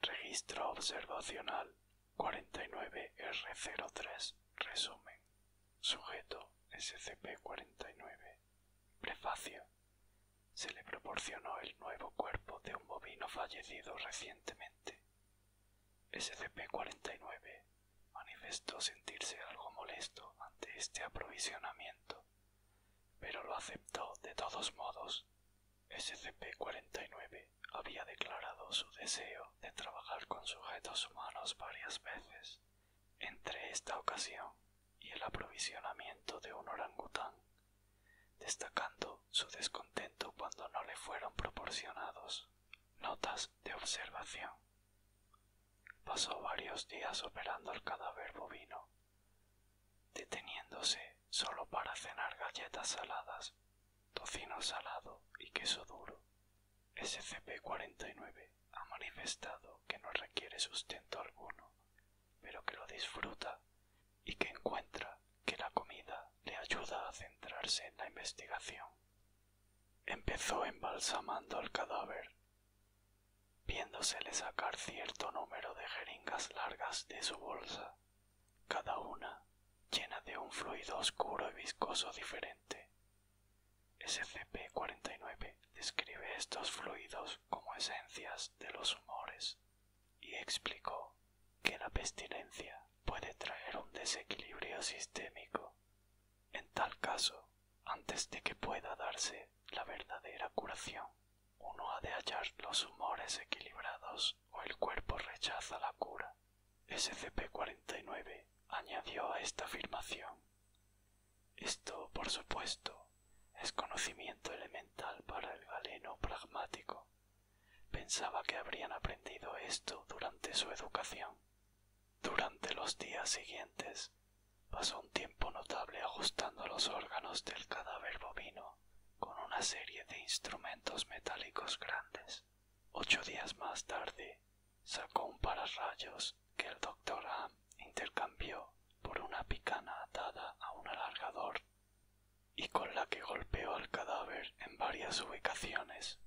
Registro observacional 49R03 Resumen Sujeto SCP-49 Prefacio se le proporcionó el nuevo cuerpo de un bovino fallecido recientemente. SCP-49 manifestó sentirse algo molesto ante este aprovisionamiento, pero lo aceptó de todos modos. SCP-49 había declarado su deseo de trabajar con sujetos humanos varias veces entre esta ocasión y el aprovisionamiento de un orangután, destacando su descontento cuando no le fueron proporcionados notas de observación. Pasó varios días operando el cadáver bovino, deteniéndose solo para cenar galletas saladas, tocino salado y queso duro. SCP-49 ha manifestado que no requiere sustento alguno, pero que lo disfruta y que encuentra que la comida le ayuda a centrarse en la investigación. Empezó embalsamando el cadáver, viéndosele sacar cierto número de jeringas largas de su bolsa, cada una llena de un fluido oscuro y viscoso diferente. SCP-49 describe estos fluidos como esencias de los humores y explicó que la pestilencia puede traer un desequilibrio sistémico. En tal caso, antes de que pueda darse la verdadera curación, uno ha de hallar los humores equilibrados o el cuerpo rechaza la cura. SCP-49 añadió a esta afirmación esto, por supuesto, es conocimiento elemental para el galeno pragmático. Pensaba que habrían aprendido esto durante su educación. Durante los días siguientes, pasó un tiempo notable ajustando los órganos del cadáver bovino con una serie de instrumentos metálicos grandes. Ocho días más tarde, sacó un pararrayos que el doctor Ham intercambió por una picana atada a un alargador y con la que golpeó al cadáver en varias ubicaciones.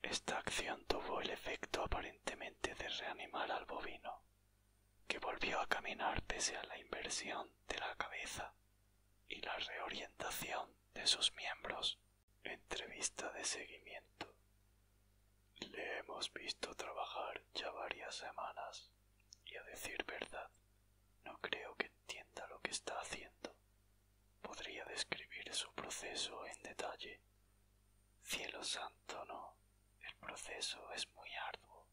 Esta acción tuvo el efecto aparentemente de reanimar al bovino, que volvió a caminar pese a la inversión de la cabeza y la reorientación de sus miembros. Entrevista de seguimiento. Le hemos visto trabajar ya varias semanas y a decir verdad, no creo que entienda lo que está haciendo. Podría describir su proceso en detalle. Cielo santo, no. El proceso es muy arduo.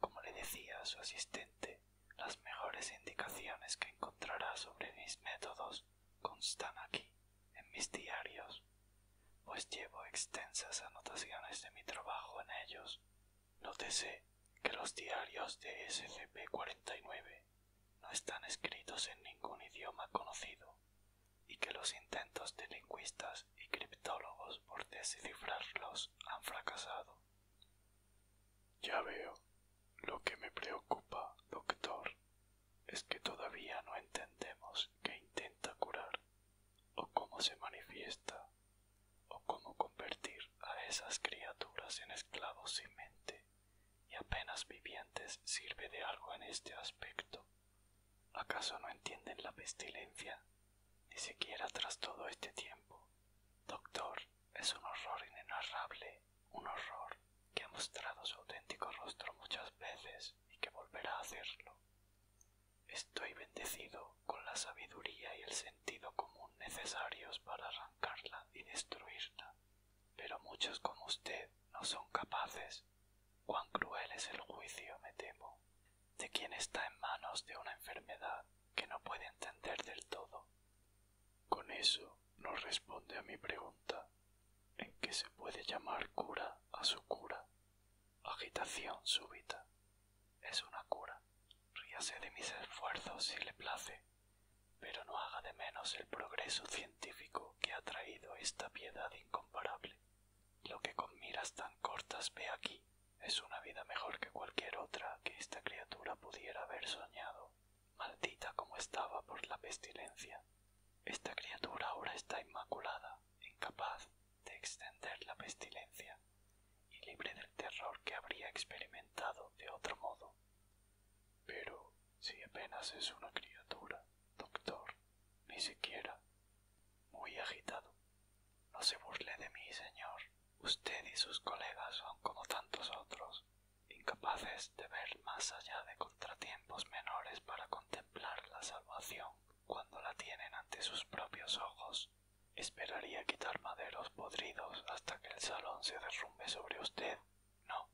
Como le decía a su asistente, las mejores indicaciones que encontrará sobre mis métodos constan aquí en mis diarios, pues llevo extensas anotaciones de mi trabajo en ellos. Nótese que los diarios de SCP-49 no están escritos en ningún idioma conocido y que los intentos de lingüistas y criptólogos por descifrarlos han fracasado. Ya veo. Lo que me preocupa, doctor, es que todavía no entendemos que intenta curar o cómo se manifiesta, o cómo convertir a esas criaturas en esclavos sin mente y apenas vivientes sirve de algo en este aspecto. ¿Acaso no entienden la pestilencia? Ni siquiera tras todo este tiempo. Doctor, es un horror inenarrable, un horror que ha mostrado su auténtico rostro muchas veces y que volverá a hacerlo. Estoy bendecido con la sabiduría y el sentido común necesarios para arrancarla y destruirla, pero muchos como usted no son capaces. Cuán cruel es el juicio, me temo, de quien está en manos de una enfermedad que no puede entender del todo. Con eso no responde a mi pregunta. ¿En qué se puede llamar cura a su cura? Agitación súbita. Es una cura. Ríase de mis esfuerzos si le place, pero no haga de menos el progreso científico que ha traído esta piedad incomparable. Lo que con miras tan cortas ve aquí es una vida mejor que cualquier otra que esta criatura pudiera haber soñado, maldita como estaba por la pestilencia. Esta criatura ahora está inmaculada, incapaz de extender la pestilencia y libre del terror que habría experimentado de otro modo. Pero si apenas es una criatura, doctor, ni siquiera. Muy agitado. No se burle de mí, señor. Usted y sus colegas son como tantos otros, incapaces de ver más allá de contratiempos menores para contemplar la salvación cuando la tienen ante sus propios ojos. Esperaría quitar maderos podridos hasta que el salón se derrumbe sobre usted. No,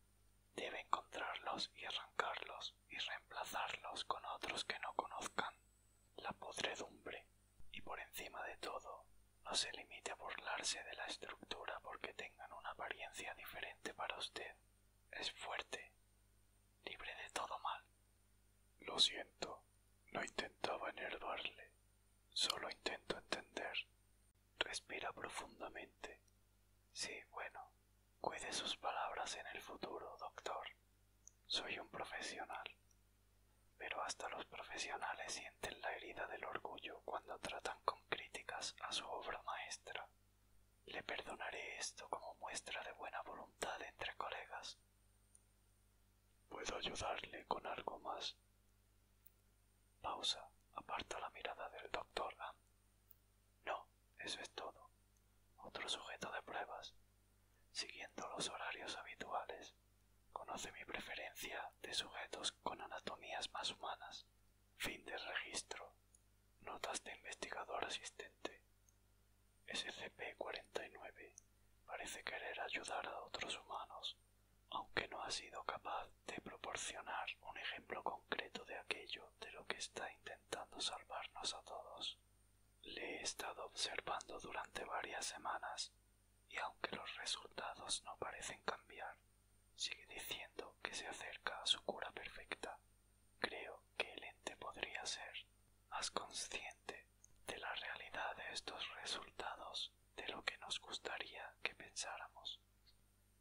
debe encontrarlos y arrancarlos y reemplazarlos con otros que no conozcan. La podredumbre. Y por encima de todo, no se limite a burlarse de la estructura porque tengan una apariencia diferente para usted. Es fuerte, libre de todo mal. Lo siento, no intentaba enervarle, solo intento entender. Respira profundamente. Sí, bueno, cuide sus palabras en el futuro, doctor. Soy un profesional. Pero hasta los profesionales sienten la herida del orgullo cuando tratan con críticas a su obra maestra. Le perdonaré esto como muestra de buena voluntad entre colegas. ¿Puedo ayudarle con algo más? Pausa. Aparta la mirada del doctor No, eso es todo. Otro sujeto de pruebas. Siguiendo los horarios habituales, conoce mi preferencia de sujetos con anatomías más humanas. Fin de registro. Notas de investigador asistente. SCP-49 parece querer ayudar a otros humanos, aunque no ha sido capaz de proporcionar un ejemplo concreto de aquello de lo que está intentando salvarnos a todos. Le he estado observando durante varias semanas y aunque los resultados no parecen cambiar, sigue diciendo que se acerca a su cura perfecta. Creo que el ente podría ser más consciente de la realidad de estos resultados de lo que nos gustaría que pensáramos.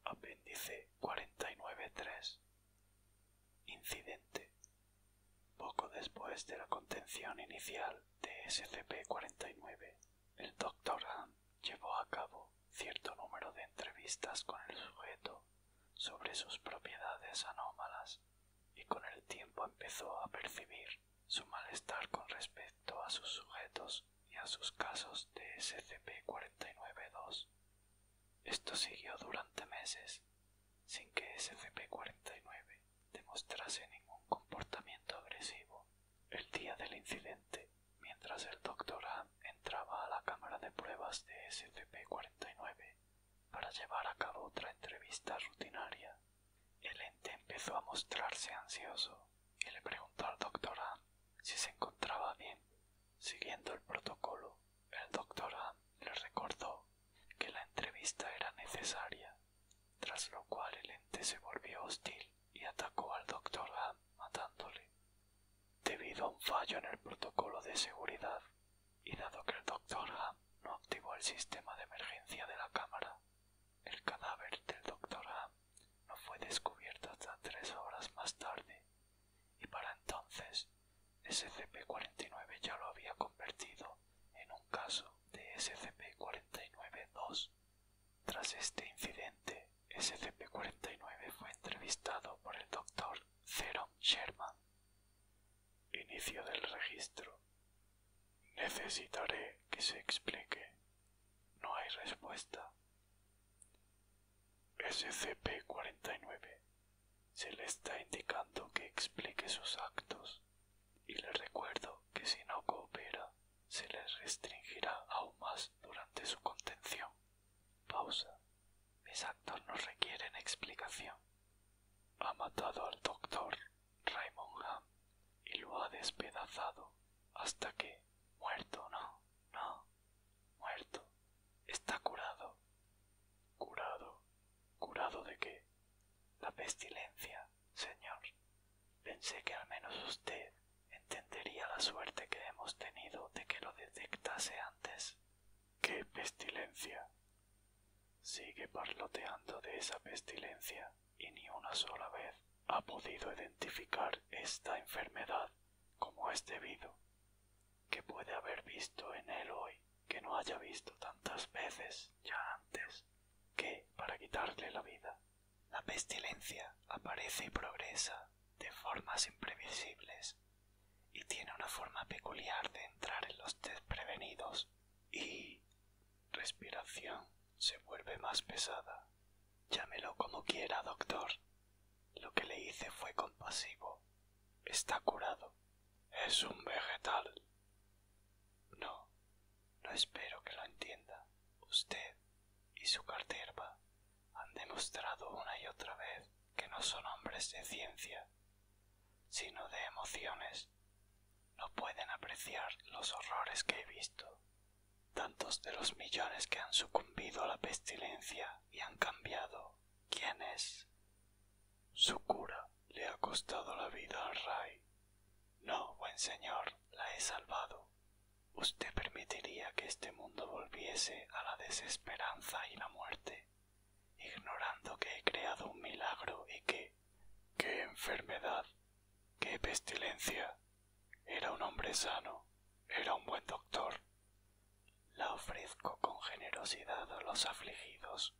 Apéndice 49.3 Incidente. Poco después de la contención inicial de SCP-49, el Dr. Han llevó a cabo cierto número de entrevistas con el sujeto sobre sus propiedades anómalas y con el tiempo empezó a percibir su malestar con respecto a sus sujetos y a sus casos de scp 49 Esto siguió durante meses sin que SCP-49 demostrase ningún comportamiento agresivo. El día del incidente, mientras el doctor Han entraba a la cámara de pruebas de SCP-49, para llevar a cabo otra entrevista rutinaria. El ente empezó a mostrarse ansioso y le preguntó al doctor Ham si se encontraba bien. Siguiendo el protocolo, el doctor Ham le recordó que la entrevista era necesaria, tras lo cual el ente se volvió hostil y atacó al doctor Ham matándole debido a un fallo en el protocolo de seguridad y dado que el doctor Ham no activó el sistema de emergencia de la cámara, el cadáver del doctor Ham no fue descubierto hasta tres horas más tarde y para entonces SCP-49 ya lo había convertido en un caso de SCP-49-2. Tras este incidente, SCP-49 fue entrevistado por el doctor Sherman Inicio del registro. Necesitaré que se explique. No hay respuesta. SCP-49 se le está indicando que explique sus actos y le recuerdo que si no coopera se le restringirá aún más durante su contención. Pausa. Mis actos no requieren explicación. Ha matado al doctor Raymond y lo ha despedazado hasta que, muerto, no, no, muerto, está curado. ¿Curado? ¿Curado de qué? La pestilencia, señor. Pensé que al menos usted entendería la suerte que hemos tenido de que lo detectase antes. ¡Qué pestilencia! Sigue parloteando de esa pestilencia y ni una sola vez ha podido identificar esta enfermedad como es debido. ¿Qué puede haber visto en él hoy que no haya visto tantas veces ya antes que para quitarle la vida? La pestilencia aparece y progresa de formas imprevisibles y tiene una forma peculiar de entrar en los desprevenidos y respiración se vuelve más pesada. Llámelo como quiera, doctor. Lo que le hice fue compasivo. Está curado. Es un vegetal. No, no espero que lo entienda. Usted y su carterva han demostrado una y otra vez que no son hombres de ciencia, sino de emociones. No pueden apreciar los horrores que he visto. Tantos de los millones que han sucumbido a la pestilencia y han cambiado. ¿Quién es? Su cura le ha costado la vida al rey. No, buen señor, la he salvado. ¿Usted permitiría que este mundo volviese a la desesperanza y la muerte? ignorando que he creado un milagro y que... ¡Qué enfermedad! ¡Qué pestilencia! Era un hombre sano, era un buen doctor. La ofrezco con generosidad a los afligidos,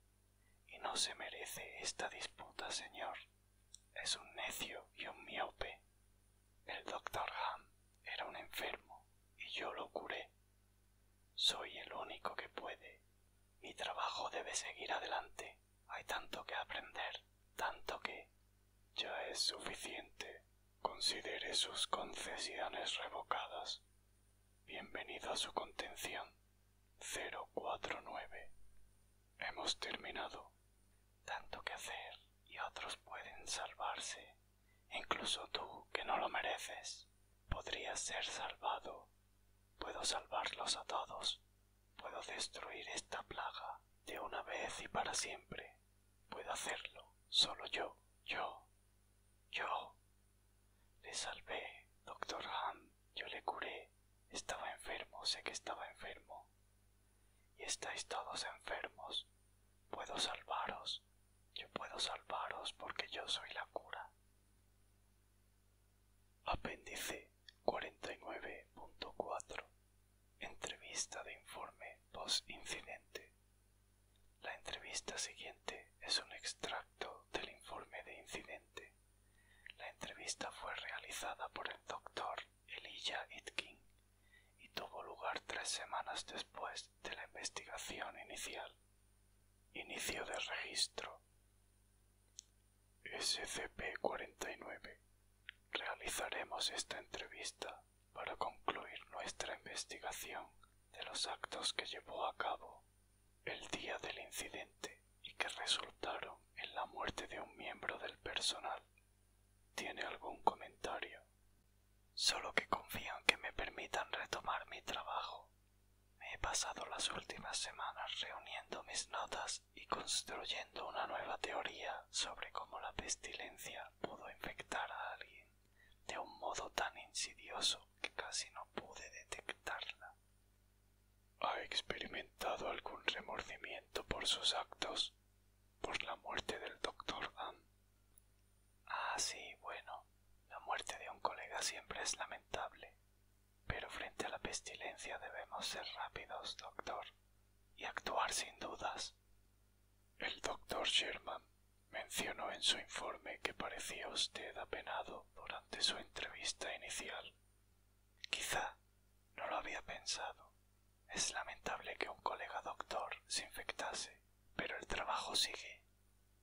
y no se merece esta disputa, señor. Es un necio y un miope. El doctor Ham era un enfermo, y yo lo curé soy el único que puede. Mi trabajo debe seguir adelante. Hay tanto que aprender, tanto que... Ya es suficiente. Considere sus concesiones revocadas. Bienvenido a su contención. 049. Hemos terminado. Tanto que hacer y otros pueden salvarse. Incluso tú, que no lo mereces, podrías ser salvado. Puedo salvarlos a todos. Puedo destruir esta plaga de una vez y para siempre. Puedo hacerlo solo yo, yo, yo. Le salvé, doctor Ham. Yo le curé. Estaba enfermo, sé que estaba enfermo. Y estáis todos enfermos. Puedo salvaros. Yo puedo salvaros porque yo soy la cura. Apéndice 49.4 Entrevista de informe post-incidente. La entrevista siguiente es un extracto del informe de incidente. La entrevista fue realizada por el doctor Elijah Itkin y tuvo lugar tres semanas después de la investigación inicial. Inicio de registro. SCP-49. Realizaremos esta entrevista para concluir nuestra investigación de los actos que llevó a cabo el día del incidente y que resultaron en la muerte de un miembro del personal. ¿Tiene algún comentario? Solo que confío en que me permitan retomar mi trabajo. Me he pasado las últimas semanas reuniendo mis notas y construyendo una nueva teoría sobre cómo la pestilencia pudo infectar a alguien de un modo tan insidioso que casi no pude detectarla. ¿Ha experimentado algún remordimiento por sus actos? ¿Por la muerte del doctor Ah, sí, bueno, la muerte de un colega siempre es lamentable. Pero frente a la pestilencia debemos ser rápidos, doctor, y actuar sin dudas. El doctor Sherman mencionó en su informe que parecía usted apenado durante su entrevista inicial. Quizá no lo había pensado. Es lamentable que un colega doctor se infectase pero el trabajo sigue,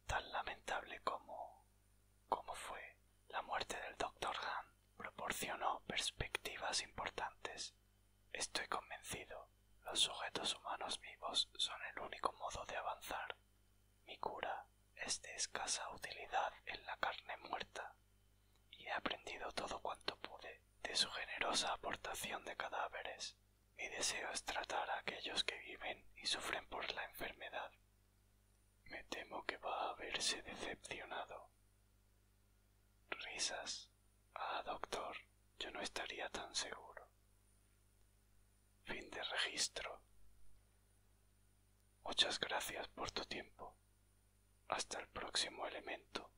tan lamentable como, como fue. La muerte del doctor Han proporcionó perspectivas importantes. Estoy convencido, los sujetos humanos vivos son el único modo de avanzar. Mi cura es de escasa utilidad en la carne muerta, y he aprendido todo cuanto pude de su generosa aportación de cadáveres. Mi deseo es tratar a aquellos que viven y sufren por la enfermedad. Me temo que va a verse decepcionado. Risas. Ah, doctor, yo no estaría tan seguro. Fin de registro. Muchas gracias por tu tiempo. Hasta el próximo elemento.